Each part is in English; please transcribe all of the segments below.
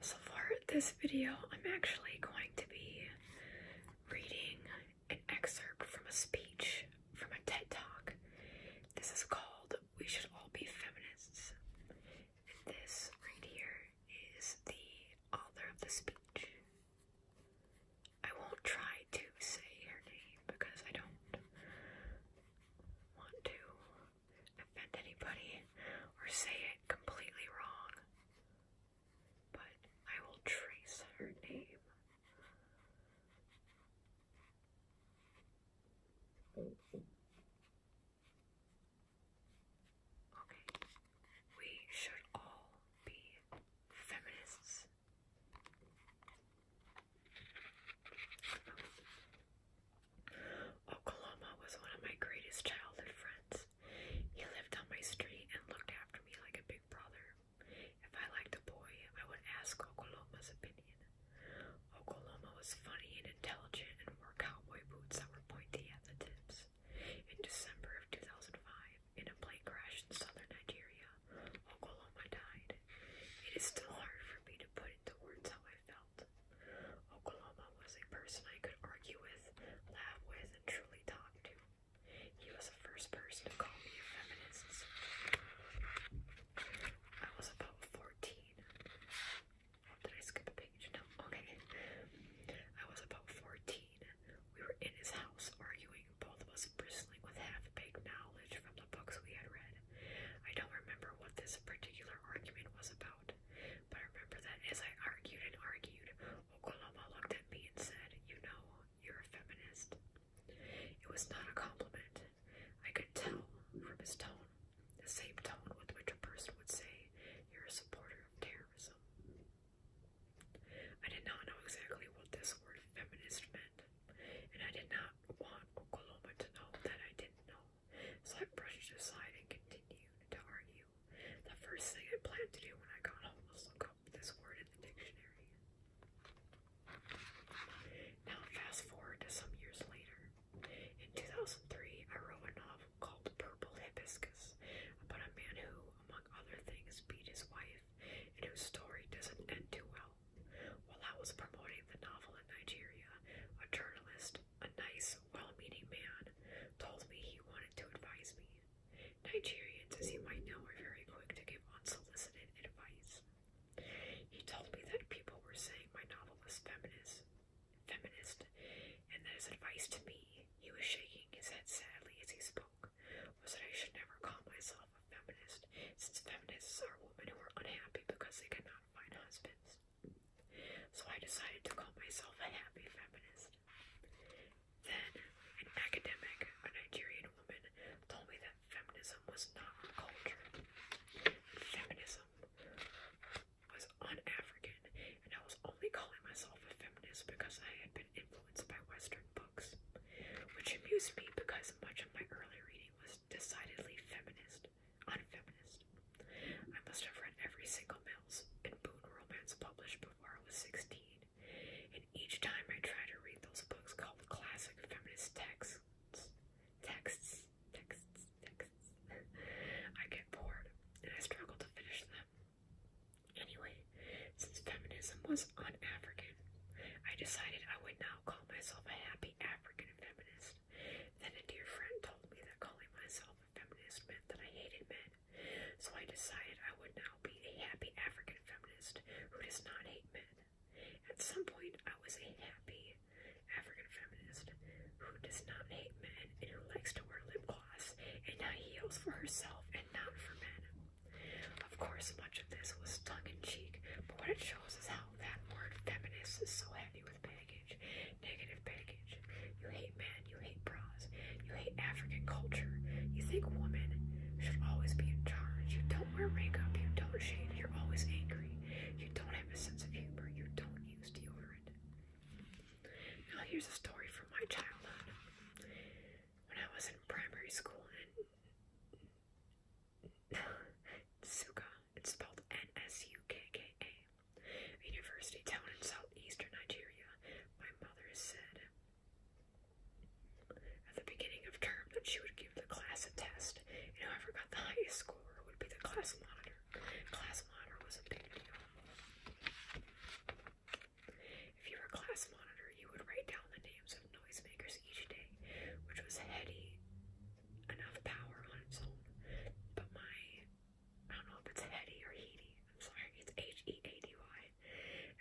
So for this video, I'm actually going to be reading an excerpt from a speech from a TED Talk. This is called We Should All Be Feminists. And this right here is the author of the speech. I won't try to say her name because I don't want to offend anybody or say it completely wrong, but I will trace her name. Okay, we should all be feminists. Okoloma was one of my greatest childhood friends. He lived on my street and looked after me like a big brother. If I liked a boy, I would ask Okoloma's opinion. Okoloma was funny and intelligent and wore cowboy boots that were pointy at the tips. In December of 2005, in a plane crash in southern Nigeria, Okoloma died. It is still hard for me to put into words how I felt. Oklahoma was a person I could argue with, laugh with, and truly talk to. He was the first person to call me a I was about 14. Did I skip a page? No, okay. I was about 14. We were in his house arguing, both of us bristling with half-baked knowledge from the books we had read. I don't remember what this particular argument was about, but I remember that as I argued and argued, Oklahoma looked at me and said, You know, you're a feminist. It was not a compliment. I could tell from his tone, the same tone with which a person would say, You're a supporter of terrorism. I did not know exactly what this word feminist meant, and I did not want Oklahoma to know that I didn't know so I brushed aside and continued to argue. The first thing I planned to do when I got home was look up this word in the dictionary. Now, fast forward to some years later. In 2003, I wrote a novel called Purple Hibiscus about a man who, among other things, beat his wife and whose story doesn't end too well. While I was promoting the novel in Nigeria, a journalist, a nice, well-meaning man, told me he wanted to advise me. Nigerians, as you might know, are very quick to give unsolicited advice. He told me that people were saying my novel was feminist, feminist, and that his advice to me, he was shaking his head sadly as he spoke, was that I should never call myself a feminist, since feminists are women who are unhappy because they cannot find husbands. So I decided to call myself a happy feminist. Then, an academic, a Nigerian woman, told me that feminism was not culture. Feminism was un-African, and I was only calling myself a feminist because I had been influenced by Western books, which amused me because much of my early reading was was decidedly feminist, unfeminist. I must have read every single Mills and Boone romance published before I was 16, and each time I tried to read those books called classic feminist texts, texts, texts, texts, I get bored and I struggle to finish them. Anyway, since feminism was un-African, I decided I would now call myself a happy African feminist. Then a dear friend told me that calling myself a feminist meant that I hated men, so I decided I would now be a happy African feminist who does not hate men. At some point, I was a happy African feminist who does not hate men and who likes to wear lip gloss and high heels for herself and not for men. Of course, much of this was tongue in cheek, but what it shows is how that word feminist is so heavy Negative package. You hate men. You hate bras. You hate African culture. You think women should always be in charge. You don't wear makeup. You don't shave. You're always angry. You don't have a sense of humor. You don't use deodorant. Now here's a story from my childhood. When I was in primary school in Suka, it's spelled N S U K K A university town in southeastern Nigeria. My mother said at the beginning of term that she would give the class a test, and whoever got the highest score would be the class monitor. Class monitor was a big deal. If you were a class monitor, you would write down the names of noisemakers each day, which was heady enough power on its own. But my, I don't know if it's heady or heady, I'm sorry, it's H E A D Y.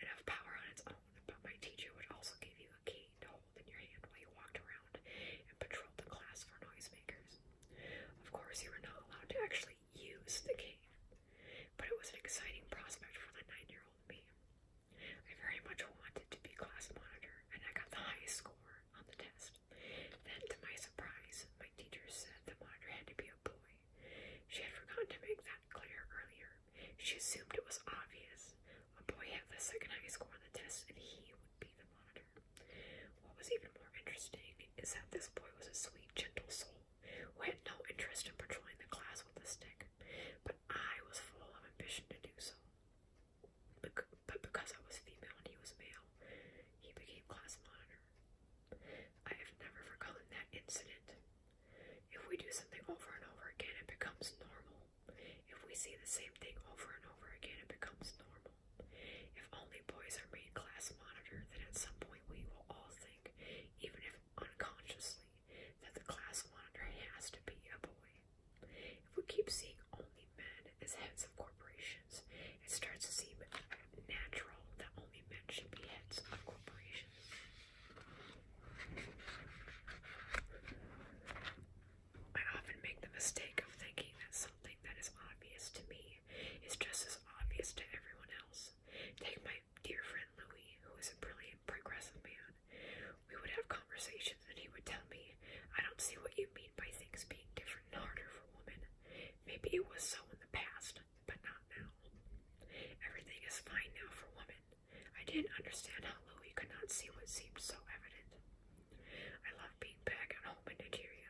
Enough power on its own, but my teacher would also give you a key to hold in your hand while you walked around and patrolled the class for noisemakers. Of course, you were not allowed to actually use the key, but it was an exciting prospect for the nine year old me. I very much wanted to be class monitor, and I got the highest score on the test. Then, to my surprise, my teacher said the monitor had to be a boy. She had forgotten to make that clear earlier. She assumed it was obvious. A boy had the second highest score on the test, and he would be the monitor. What was even more interesting is that this boy was a sweet, gentle soul who had no interest in patrolling the class with a stick, but I was full of ambition to do so but because I was female and he was male, he became class monitor. I have never forgotten that incident. If we do something over and over again, it becomes normal. If we see the same thing over and over again, it becomes normal. If only boys are made class monitor, then at some point we will all think, even if unconsciously, that the class monitor has to be a boy. If we keep seeing only men as heads of corporations, it starts to seem natural that only men should be heads of corporations. I often make the mistake of thinking that something that is obvious to me is just as obvious to everyone else. Take my dear friend Louis, who is a brilliant progressive man. We would have conversations, and he would tell me I don't see what you mean by things being different and harder for women. Maybe it was so in the past, but not now. Everything is fine now for women. I didn't understand how Louie could not see what seemed so evident. I love being back at home in Nigeria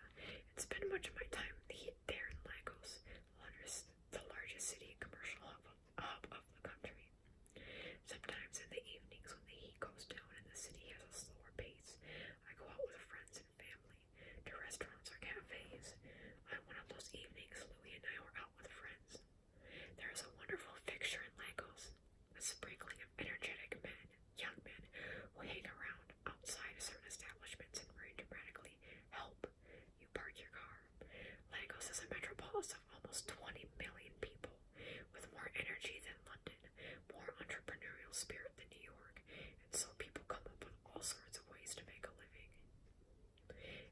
and spend much of my time there in Lagos, the largest city and commercial hub of the country. Sometimes in the evenings when the heat goes down and the city has a slower pace, I go out with friends and family to restaurants or cafes. On one of those evenings, Louie and I were out with friends. There is a wonderful fixture in Lagos, a sprinkling of energetic men, young men, who hang around outside certain establishments in order to practically help you park your car. Lagos is a metropolis of almost 20 million people with more energy than London more entrepreneurial spirit than New York, and so people come up with all sorts of ways to make a living.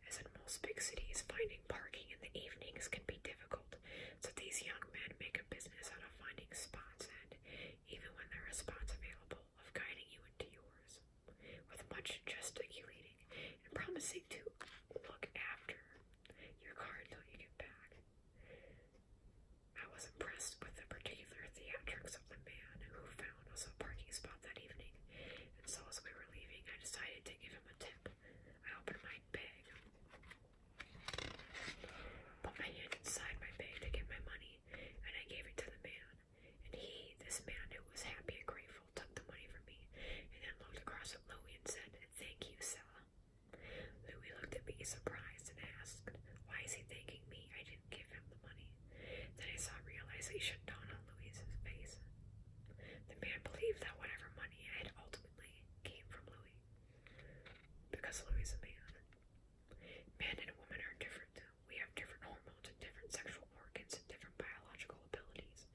As in most big cities, finding parking in the evenings can be difficult, so these young men make a business out of finding spots and, even when there are spots available, of guiding you into yours, with much gesticulating and promising to look after your car until you get back. I was impressed with the particular theatrics of the man who found us a parking spot that evening, and so as we were leaving, I decided to give him a tip. I opened my bag, put my hand inside my bag to get my money, and I gave it to the man. And he, this man who was happy and grateful, took the money from me, and then looked across at Louie and said, Thank you, Sella. Louis looked at me surprised and asked, Why is he thanking me? I didn't give him the money. Then I saw realization dawn on Louis's face. The man believed that whatever money I had ultimately came from Louis. Because Louis is a man. Man and woman are different. We have different hormones and different sexual organs and different biological abilities.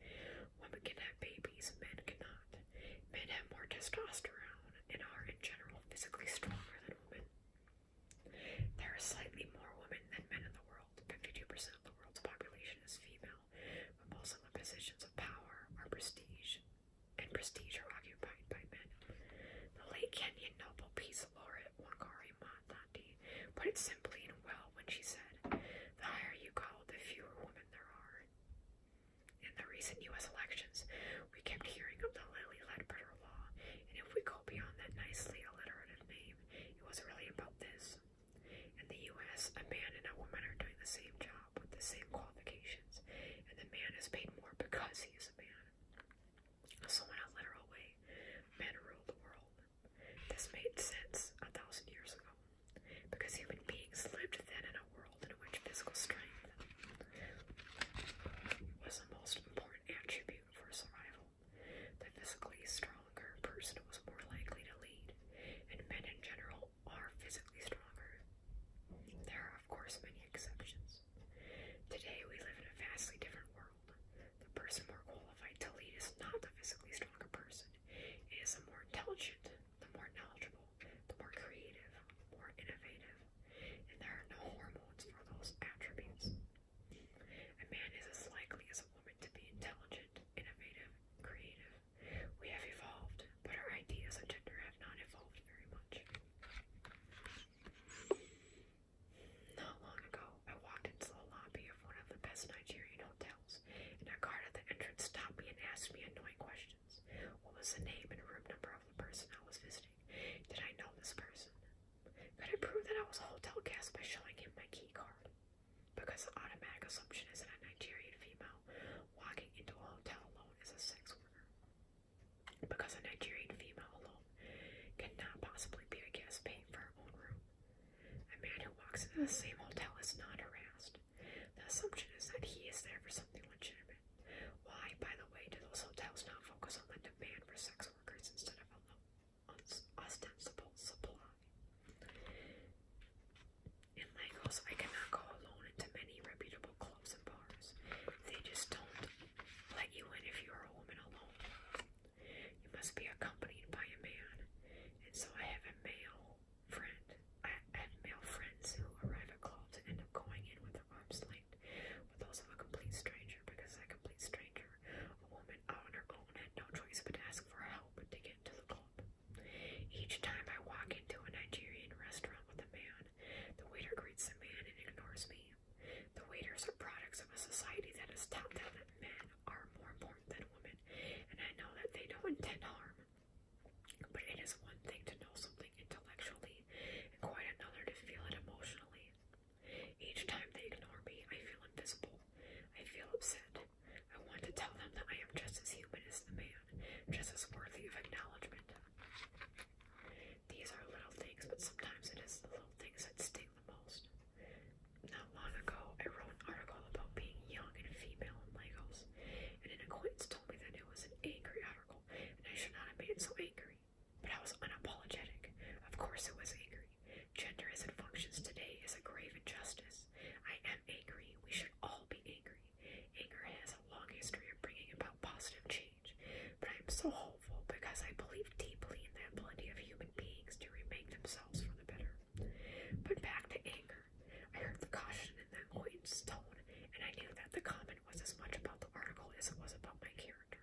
Women can have babies, men cannot. Men have more testosterone and are in general physically stronger than women. There are slightly more women than men in the world. 52% of the world's population is female, but most of the positions of power are prestige, and prestige are occupied by men. The late Kenyan Nobel Peace laureate Wangari Maathati put it simply and well when she said, "The higher you go, the fewer women there are." In the recent U.S. elections, we kept hearing of the Lily Ledbetter Law, and if we go beyond that nicely alliterative name, it was really about this. In the U.S., a man and a woman are doing the same job with the same qualifications, and the man is paid more because he is a man. So, in a literal way, men rule the world. This made sense a thousand years ago, because human beings lived then in a world world in which physical strength was the most important attribute for survival. The physically stronger person was more likely to lead, and men in general are physically stronger. There are, of course, many exceptions. Today, we live in a vastly different world. The person more qualified to lead is not the physically stronger person, it is the more intelligent, the more knowledgeable, the more creative, more innovative, and there are no hormones for those attributes. A man is as likely as a woman to be intelligent, innovative, creative. We have evolved, but our ideas on gender have not evolved very much. Not long ago, I walked into the lobby of one of the best Nigerian hotels, and a guard at the entrance stopped me and asked me annoying questions questions. What was the name and room number of the person I was visiting? Did I know this person? Could I prove that I was a hotel guest by showing him my key card? Because the automatic assumption is that a Nigerian female walking into a hotel alone is a sex worker. Because a Nigerian female alone cannot possibly be a guest paying for her own room. A man who walks into the same hotel is not harassed. The assumption is that he is there for something legitimate. Why, by the way, do those hotels not focus on the demand for sex workers instead of a the ostensible supply? In Lagos, I cannot go alone into many reputable clubs and bars. They just don't let you in if you are a woman alone. You must be accompanied by a man. And so I have male friend. male friends who arrive at clubs and end up going in with their arms night with also a complete stranger because a complete stranger, a woman out on her own, had no choice but to ask for help to get to the club. Each time I walk into a Nigerian restaurant with a man, the waiter greets the man and ignores me. The waiters are products of a society that has taught them that men are more important than women, and I know that they don't intend harm. But it is one thing to know some intellectually, and quite another to feel it emotionally. Each time they ignore me, I feel invisible. I feel upset. I want to tell them that I am just as human as the man, just as worthy of acknowledgement. These are little things, but sometimes it is the little things that sting the most. Not long ago, I wrote an article about being young and female in Legos, and an acquaintance told me that it was an angry article and I should not have been so angry. But I was unapologetic. Of course, it was angry. Gender as it functions today is a grave injustice. I am angry. We should all be angry. Anger has a long history of bringing about positive change. But I am so hopeful because I believe deeply in the ability of human beings to remake themselves for the better. But back to anger. I heard the caution in that acquaintance stone, and I knew that the common was as much about the article as it was about my character.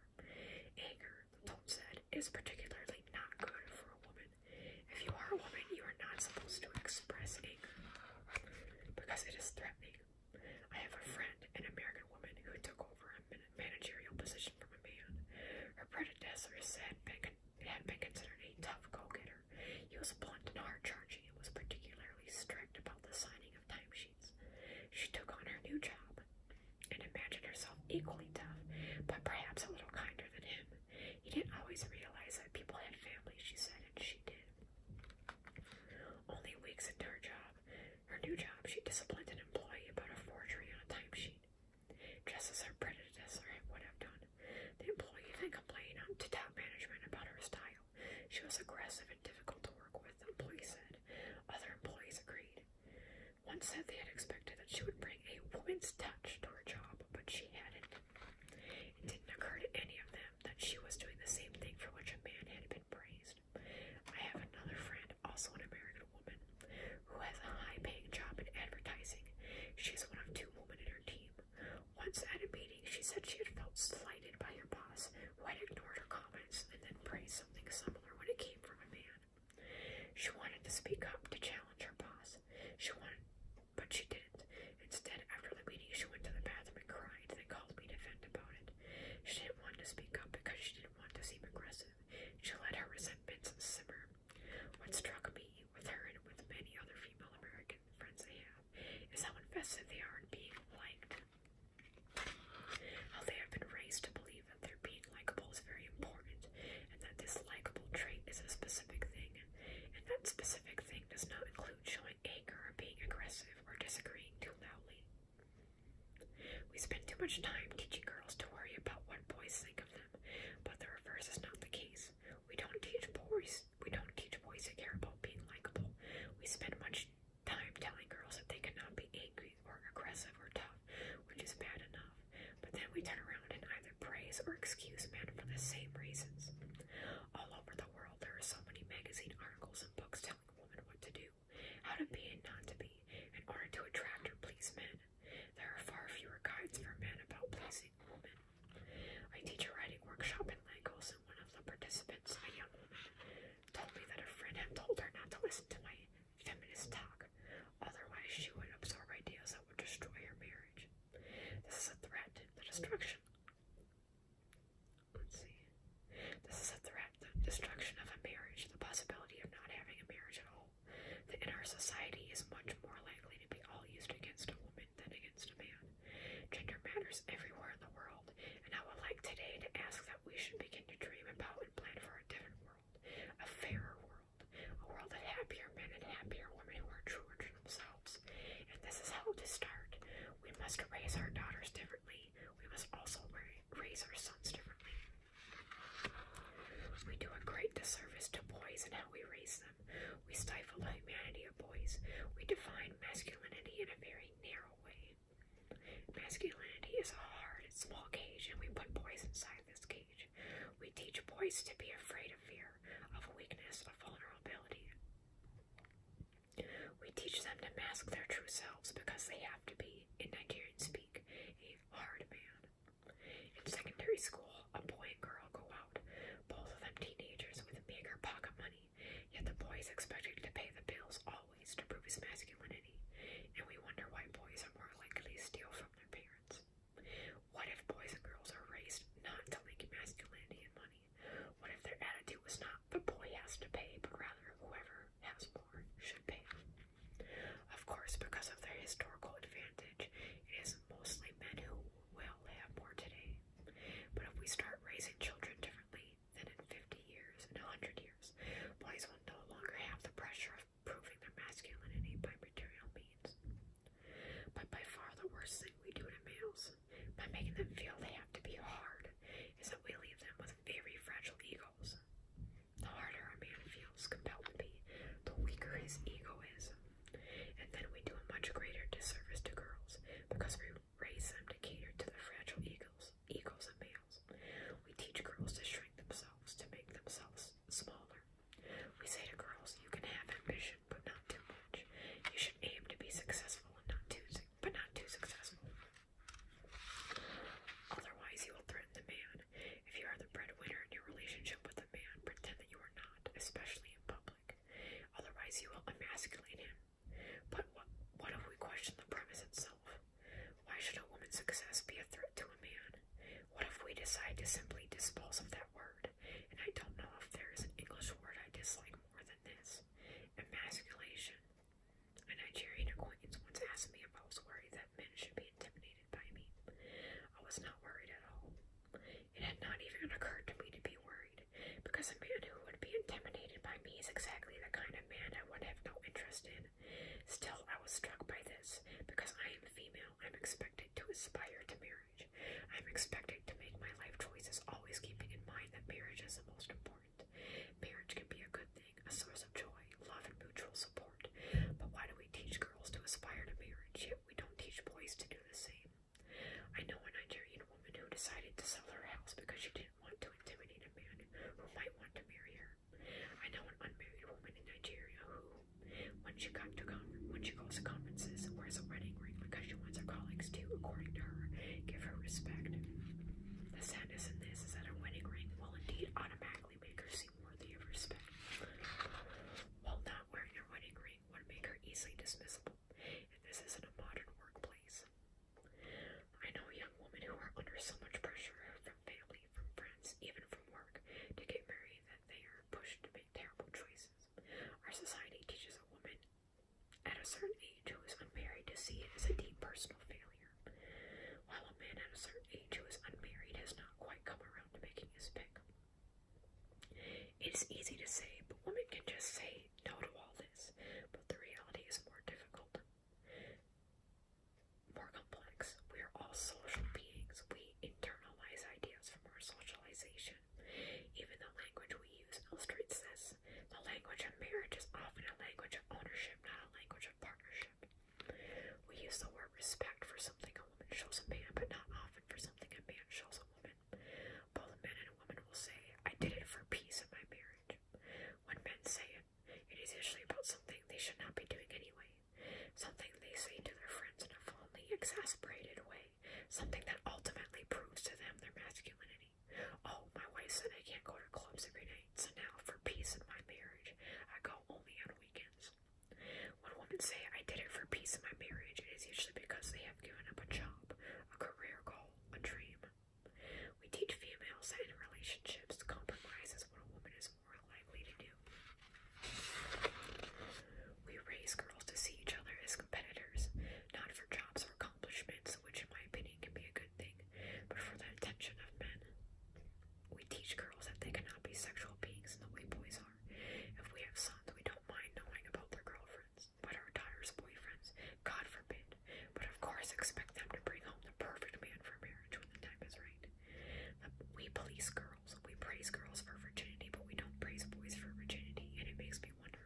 Anger, Tom said, is particularly not good for a woman. If you are a woman, you are not supposed to express anger because it is threatening. I have a friend, an American woman, who took over a managerial position from a man. Her predecessor said been had been considered a tough go-getter. He was blunt and hard-charging and was particularly strict about the signing of timesheets. She took on her new job and imagined herself equally tough, but perhaps a little kinder than him. He didn't always realize that people had families, she said, and she did. Only weeks into her job, her new job, she disciplined an employee about a forgery on a timesheet, just as her predecessor would have done. The employee then complained to top management about her style. She was aggressive and difficult to work with, employees said. Other employees agreed. One said they had expected that she would bring a woman's touch to her job, but she hadn't. It didn't occur to any of them that she was doing the same thing for which a man had been praised. I have another friend, also an American woman, who has a high paying job in advertising. She's one of two women in her team. Once at a meeting, she said she had felt slighted by her boss, who had ignored her comments and then praised something similar when it came from a man. She wanted to speak up to challenge her boss. She wanted, but she didn't. Instead, after the meeting, she went to the bathroom and cried, then called me to vent about it. She didn't want to speak up because she didn't want to seem aggressive. She let her resentments simmer. What struck me with her and with many other female American friends I have is how invested they are in being liked. How they have been raised to believe that their being likable is very important, and that this likable trait is a specific thing, and that specific thing does not include showing anger or being aggressive or disagreeing too loudly. We spend too much time teaching girls to worry about what boys think of them, but the reverse is not the case. We don't teach boys. We don't teach boys to care about being likable. We spend much time telling girls that they cannot be angry or aggressive or tough, which is bad enough. But then we turn around and either praise or excuse men for the same reasons. All over the world, there are so many magazine articles and books telling women what to do, how to be and not to be, in order to attract or please men. There are far fewer guides for men about pleasing women. I teach a writing workshop in Lagos, one of the participants, a young woman, told me that her friend had told her not to listen to my feminist talk, otherwise she would absorb ideas that would destroy her marriage. This is a threat to the destruction. Let's see. This is a threat, the destruction of a marriage, the possibility of not having a marriage at all. That in our society is much more likely to be all used against a woman than against a man. Gender matters everywhere in the world, and I would like today to ask that we should begin to dream about and plan for a different world, a fairer world, a world of happier men and happier women who are true to themselves. And this is how to start. We must raise our daughters differently. We must also raise our sons differently. We do a great disservice to boys in how we raise them. We stifle the humanity of boys. We define masculinity in a very narrow Masculinity is a hard small cage, and we put boys inside this cage. We teach boys to be afraid of fear, of weakness, of vulnerability. We teach them to mask their true selves because they have to be, in Nigerian speak, a hard man. In secondary school, a boy and girl go out, both of them teenagers with bigger pocket money family. Yet the boy is expected to pay the bills always to prove his masculinity, and we wonder why boys are more likely to steal from their parents. What if boys and girls are raised not to link masculinity and money? What if their attitude was not the boy has to pay, but rather whoever has more should pay? Of course, because of their historical advantage, it is mostly men who will have more today. But if we start raising children differently, than in 50 years, in 100 years. Boys will no longer have the pressure of proving their masculinity by material means. But by far the worst thing we do to males, by making them feel they have to be hard, is that we leave them with very fragile egos. The harder a man feels compelled to be, the weaker his ego is. And then we do a much greater disservice to girls because we raise them to cater to the fragile eagles, eagles and males. We teach girls to shrink themselves, to make themselves smaller. We say to girls, you can have ambition, but not too much. You should aim to be successful and not too but not too successful. Otherwise you will threaten the man. If you are the breadwinner in your relationship with a man, pretend that you are not, especially in public. Otherwise you will emasculate him. But what, if we question the premise itself? Why should a woman's success be a threat to a man? What if we decide to simply dispose that word? And I don't know if there is an English word I dislike more than this emasculation. A Nigerian acquaintance once asked me if I was worried that men should be intimidated by me. I was not worried at all. It had not even occurred to me to be worried because a man who would be intimidated by me is exactly the kind of man I would have no interest in. Still, I was struck by this. Because I am female, I'm expected to aspire to marriage. I'm expected to make my life choices, always keeping in mind that marriage is the most important. Marriage can be a good thing, a source of joy, love, and mutual support. But why do we teach girls to aspire to marriage, yet we don't teach boys to do the same? I know a Nigerian woman who decided to sell her house because she didn't want to intimidate a man who might want to marry her. I know an unmarried woman in Nigeria who, when she goes to conferences, wears a wedding ring because she wants her colleagues to, according to her, give her respect. The sadness in this is that a wedding ring will indeed automatically make her seem worthy of respect. While not wearing a wedding ring would make her easily dismissible, and this isn't a modern workplace. I know young women who are under so much pressure from family, from friends, even from work, to get married that they are pushed to make terrible choices. Our society teaches a woman at a certain age who is unmarried to see it as a deep personal failure, while a man at a certain age who is unmarried has not quite come around to making his pick. It's easy to say, but women can just say say all this, but the reality is more difficult, more complex. We are all social beings. We internalize ideas from our socialization. Even the language we use illustrates this. The language of marriage is often a language of ownership, not a language of partnership. We use the word respect for something a woman shows a man, but not often for something a man shows a woman. Both men and women will say, I did it for peace in my marriage. When men say it, it is usually about something they should not be doing anyway. Something they say to their friends in a fondly exasperated way. Something that ultimately proves to them their masculinity. Oh, my wife said I can't go to clubs every night, so now for peace in my marriage, I go only on weekends. When women say, I did it for peace in my marriage, it is usually because they have given up a job, a career goal, a dream, we teach females that in relationships, compromise is what a woman is more likely to do. We raise girls to see each other as competitors, not for jobs or accomplishments, which in my opinion can be a good thing, but for the attention of men. We teach girls that they cannot be sexual beings in the way boys are. If we have sons, we don't mind knowing about their girlfriends but her daughter's boyfriends, God forbid. But of course, expect them to bring home the perfect man for marriage when the time is right. We police girls, we praise girls for virginity, but we don't praise boys for virginity, and it makes me wonder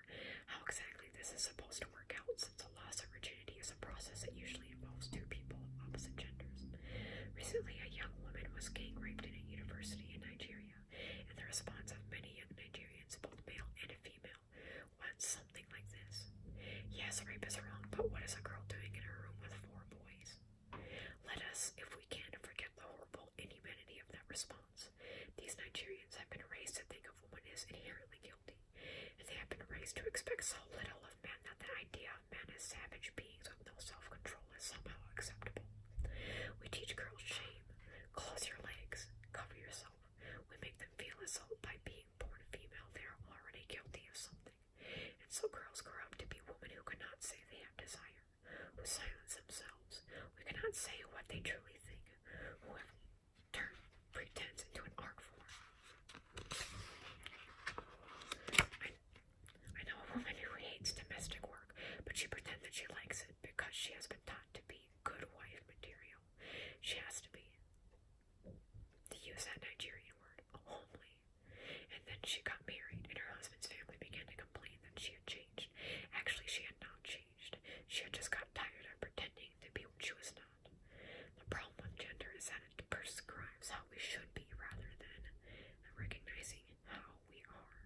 how exactly this is supposed to work out since a loss of virginity is a process that usually involves two people of opposite genders. Recently, a young woman was gang raped in a university in Nigeria, and the response of many young Nigerians, both male and female, Doyle something like this. Yes, rape is wrong, but what is a girl doing in her room with four boys? Let us, if we can, forget the horrible inhumanity of that response. These Nigerians have been raised to think of woman as inherently guilty, and they have been raised to expect so little of men that the idea of men as savage beings with no self-control is somehow acceptable. We teach girls shame. Close your legs. Cover yourself. We make them feel as though by being born female they are already guilty of something. And so girls grow up to be women who cannot say they have desire, who silence themselves. We cannot say what they truly think, who have turned pretense into an art form. I, I know a woman who hates domestic work, but she pretends that she likes it because she has been taught to be good wife material. She has to be. To use that Nigerian word, homely. And then she got married, and her husband's family began to complain that she had changed. Actually, she had not changed. She had just got tired of pretending to be what she was not. The problem with gender is that it prescribes how we should be rather than recognizing how we are.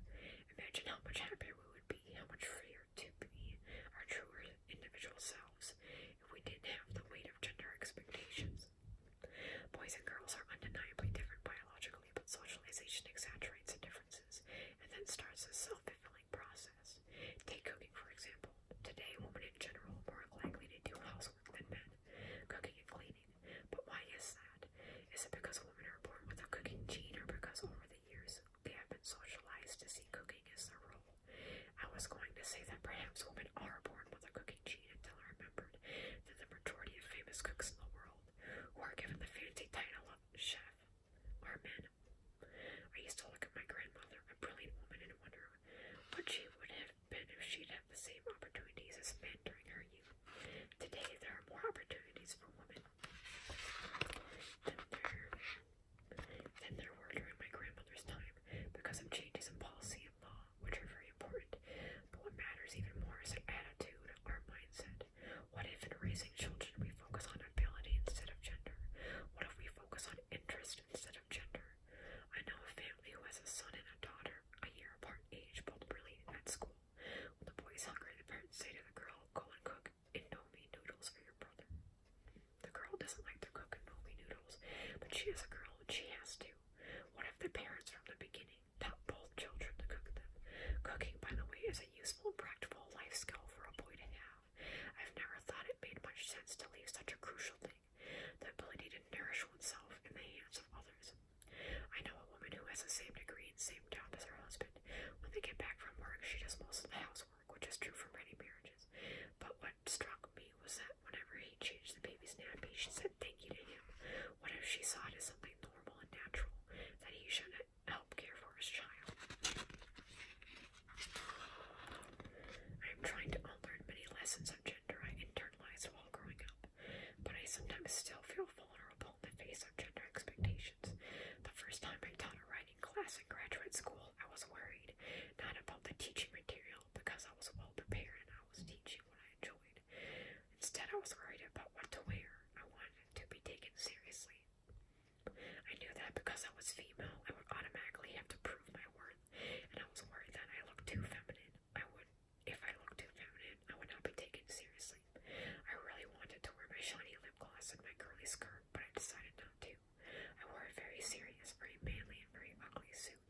Imagine how much happier we would be, how much freer, to be our truer individual selves if we didn't have the weight of gender expectations. Boys and girls are undeniably different biologically, but socialization exaggerates the differences and then starts a self fulfilling process. Take cooking, for example. Today, women in general are more likely to do housework than men, cooking and cleaning. But why is that? Is it because women are born with a cooking gene or because over the the years, they have been socialized to see cooking as their role. I was going to say that perhaps women are born with a cooking gene until I remembered that the majority of famous cooks in the world, who are given the fancy title of chef, are men. I used to look at my grandmother, a brilliant woman, and wonder what she would have been if she'd had the same opportunities as men during her youth. Today, there are more opportunities for women, than there, than there were during my grandmother's time because of changes in policy and law, which are very important. But what matters even more is our attitude, our mindset. What if in raising children we focus on ability instead of gender? What if we focus on interest instead of gender? I know a family who has a son and a daughter, a year apart in age, both related at school. When the boy is hungry, the parents say to the girl, Go and cook cook Indomie noodles for your brother. The girl doesn't like to cook Indomie noodles, but she is a girl and she has to. What if the parents from the beginning taught both children to cook them? Cooking, by the way, is a useful and practical life skill for a boy to have. I've never thought it made much sense to leave such a crucial thing, the ability to nourish oneself, in the hands of others. I know a woman who has the same degree and same job as her husband. When they get back from work, she does most of the housework housework, which is true for many marriages. But what struck me was that whenever he changed the baby's nappy, she said thank you to him. What if she saw it as something normal and natural, that he should help care for his child? I am trying to unlearn many lessons of gender I internalized while growing up, but I sometimes still feel vulnerable in the face of gender expectations. The first time I taught a in class in graduate school, I was worried not about the teaching material because I was well prepared and I was teaching what I enjoyed. Instead, I was worried about what to wear. I wanted to be taken seriously. I knew that because I was female, I would automatically have to prove my worth, and I was worried that I looked too feminine. I would, if I looked too feminine, I would not be taken seriously. I really wanted to wear my shiny lip gloss and my curly skirt, but I decided down too. I wore a very serious, very manly, and very ugly suit.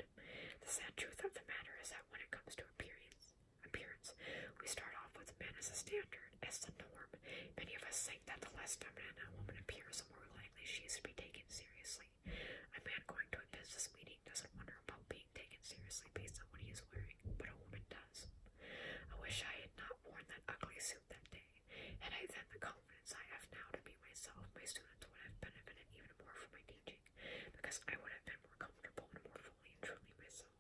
The sad truth of the matter is that when it comes to appearance, appearance, we start off with men as a standard, as the norm. Many of us think that the less feminine a woman appears, the more likely she is to be taken seriously. A man going to a business meeting doesn't wonder about being taken seriously based on what he is wearing, but a woman does. I wish I had not worn that ugly suit that day. Had I then the confidence I have now to be myself, my students would have benefited even more from my teaching, because I would have been more comfortable and more fully and truly myself.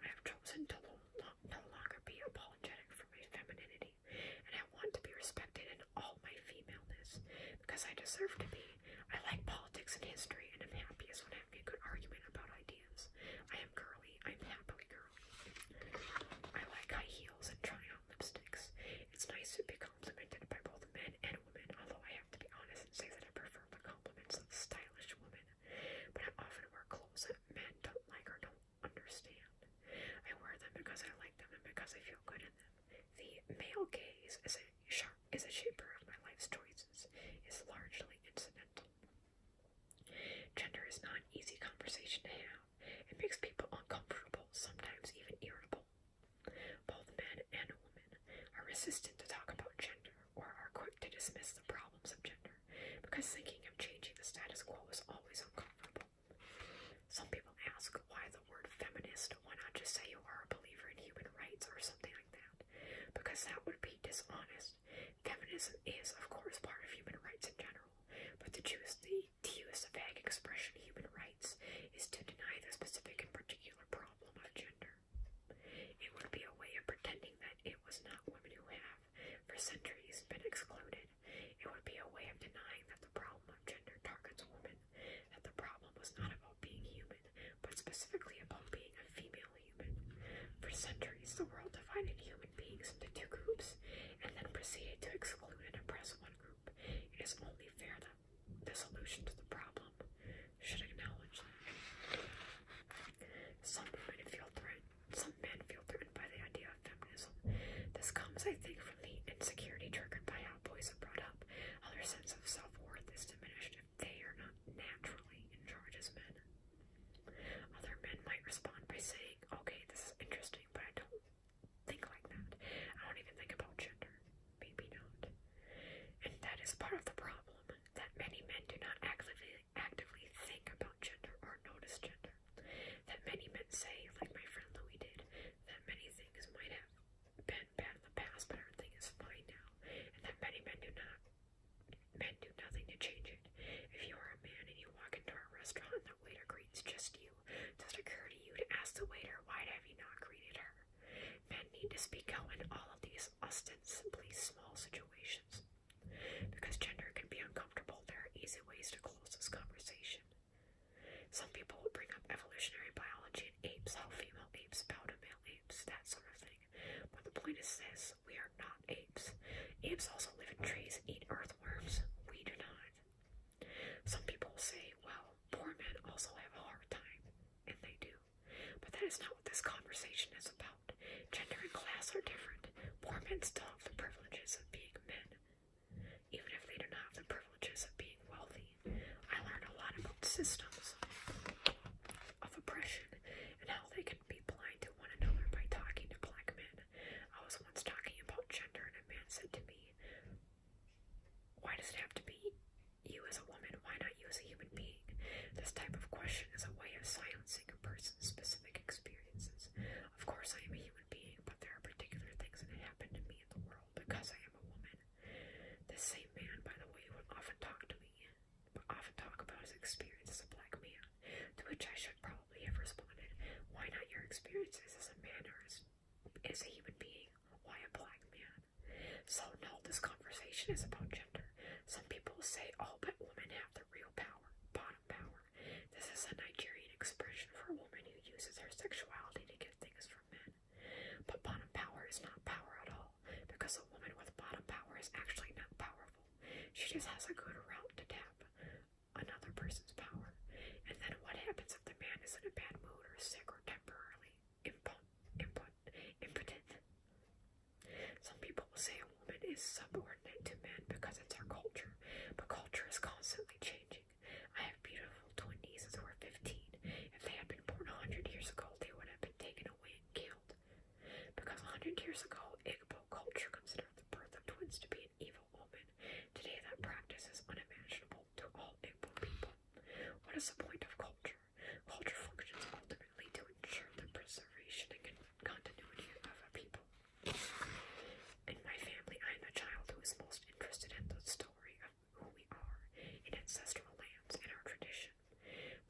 I have chosen to no longer be apologetic for my femininity, and I want to be respected in all my femaleness, because I deserve to be. I like politics and history, and i am happiest when having a good argument about ideas. I am girly. I'm happily girly. I like high heels and try out lipsticks. It's nice to be complimented by both men and women, although I have to be honest and say that I prefer the compliments of stylish women. But I often wear clothes that men don't like or don't understand. I wear them because I like them and because I feel good in them. The male gaze is a, is a shaper of my life's choices, is largely incidental. Gender is not an easy conversation to have. It makes people uncomfortable, sometimes even irritable. Both men and women are resistant to talk about gender or are quick to dismiss the problems of gender because thinking of changing the status quo is always uncomfortable. Some people ask why the word feminist, why not just say you are a believer in human rights or something like that? Because that would be dishonest Feminism is, of course, part of human rights in general, but to to use the vague expression human rights is to deny the specific and particular problem of gender. It would be a way of pretending that it was not women who have, for centuries, been excluded. It would be a way of denying that the problem of gender targets women, that the problem was not about being human, but specifically about being a female human. For centuries, treats the world divided human beings into two groups and then proceeded to exclude and oppress one group. It is only fair that the solution to the problem should acknowledge that. Some women feel threatened. Some men feel threatened by the idea of feminism. This comes, I think, from the insecurity triggered by how boys are brought up. their sense of self-worth is diminished if they are not naturally in charge as men. Other men might respond by saying, okay, this is interesting, but I don't think like that. I don't even think about gender. Maybe not. And that is part of the problem, that many men do not actively, actively think about gender or notice gender. That many men say, like my friend Louis did, that many things might have been bad in the past, but everything is fine now. And that many men do not Men do nothing to change it. If you are a man and you walk into a restaurant and the waiter greets just you, does it occur to you to ask the waiter why have you not greeted her? Men need to speak out in all of these ostensibly small situations. Because gender can be uncomfortable, there are easy ways to close this conversation. Some people bring up evolutionary biology and apes, how female apes bow to male apes, that sort of thing. But the point is this we are not apes. Apes also live in trees, eat earthworms. We do not. Some people say, well, poor men also have a hard time, and they do. But that is not what this conversation is about. Gender and class are different. Poor men still have the privileges of being men, even if they do not have the privileges of being wealthy. I learned a lot about systems of oppression and how they can be blind to one another by talking to black men man. I was once talking about gender, and a man said to me, Why does it have to be you as a woman? Why not you as a human being? This type of question is a way of silencing a person's specific experiences. Of course, I am a human being, but there are particular things that happen to me in the world because I am a woman. This same man, by the way, would often talk to me, but often talk about his experience as a black man. To which I should probably have responded, Why not your experiences as a man as a human being? Why a black man? So, no, this conversation is about gender. Some people say all but women have the real power, bottom power. This is a Nigerian expression for a woman who uses her sexuality to get things from men. But bottom power is not power at all, because a woman with bottom power is actually not powerful. She just has a good route to tap another person's power. And then what happens if the man is in a bad mood or sick or temporarily impotent? Some people will say a woman is subordinate to men because it's our culture, but culture is constantly changing. I have beautiful twenties nieces who are 15. If they had been born 100 years ago, they would have been taken away and killed. Because hundred years ago, Igbo culture considered the birth of twins to be an evil omen. Today, that practice is unimaginable to all Igbo people. What is the point of culture? Culture functions ultimately to ensure the preservation and continuity of a people. In my family, I am the child who is most interested in the story of who we are, in ancestral lands, and our tradition.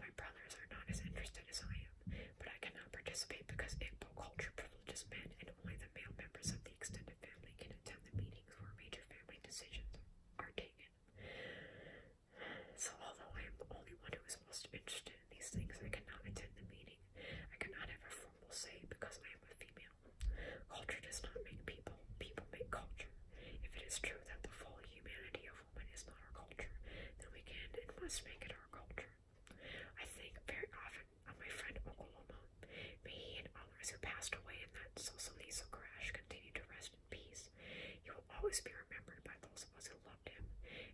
My brothers are not as interested as I am but I cannot participate because Igbo culture privileges men, and only the male members of the extended family can attend the meetings where major family decisions are taken. So, although I am the only one who is most interested in these things, I cannot attend the meeting. I cannot have a formal say because I am a female. Culture does not make people, people make culture. If it is true that the full humanity of women is not our culture, then we can and must make it our culture. I think very often of uh, my friend Oklahoma. May he and others who passed away in that Solzhenitsyn crash continue to rest in peace. He will always be remembered by those of us who loved him,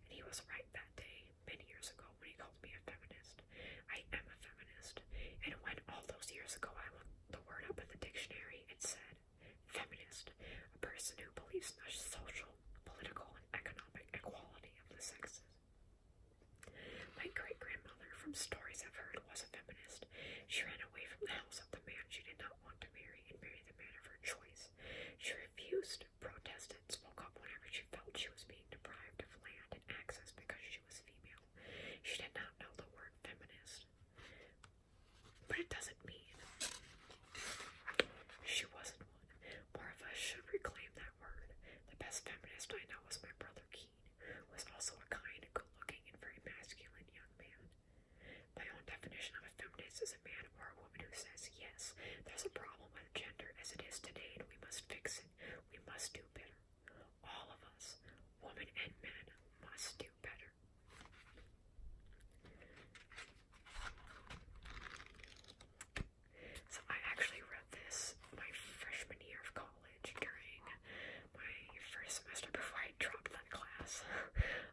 and he was right that day, many years ago, when he called me a feminist. I am a feminist, and when all those years ago I looked the word up in the dictionary, it said, feminist, a person who believes in the social political, and economic equality of the sexes. My great-grandmother, from stories I've heard, was a feminist. She ran away from the house of the man she did not want to marry and married the man of her choice. She refused, protested, spoke up whenever she felt she was being deprived of land and access because she was female. She did not know the word feminist. But it doesn't mean she wasn't more of us should reclaim that word. The best feminist I know was my brother Keene, was also a kind, good-looking, and very masculine young man. My own definition of a feminist is a man or a woman who says, yes, there's a problem with gender as it is today, and we must fix it. We must do better. All of us, women and men, must do better. So I actually read this my freshman year of college during my first semester before I dropped that class.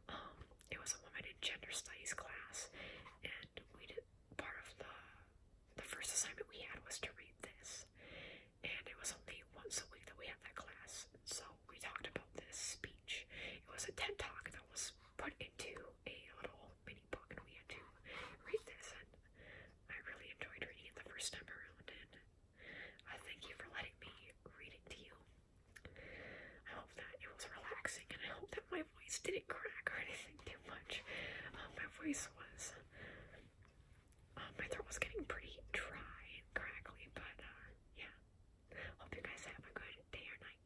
Um, it was a woman in gender studies class, and we did part of the the first assignment we had was to read this, and it was only once a week that we had that class. So we talked about this speech. It was a TED talk that was put into a little mini book, and we had to read this, and I really enjoyed reading it the first time around, and thank you for letting me read it to you. I hope that it was relaxing, and I hope that my voice didn't crack or anything too much. Um, my voice was, um, my throat was getting pretty dry and crackly, but uh, yeah. Hope you guys have a good day or night.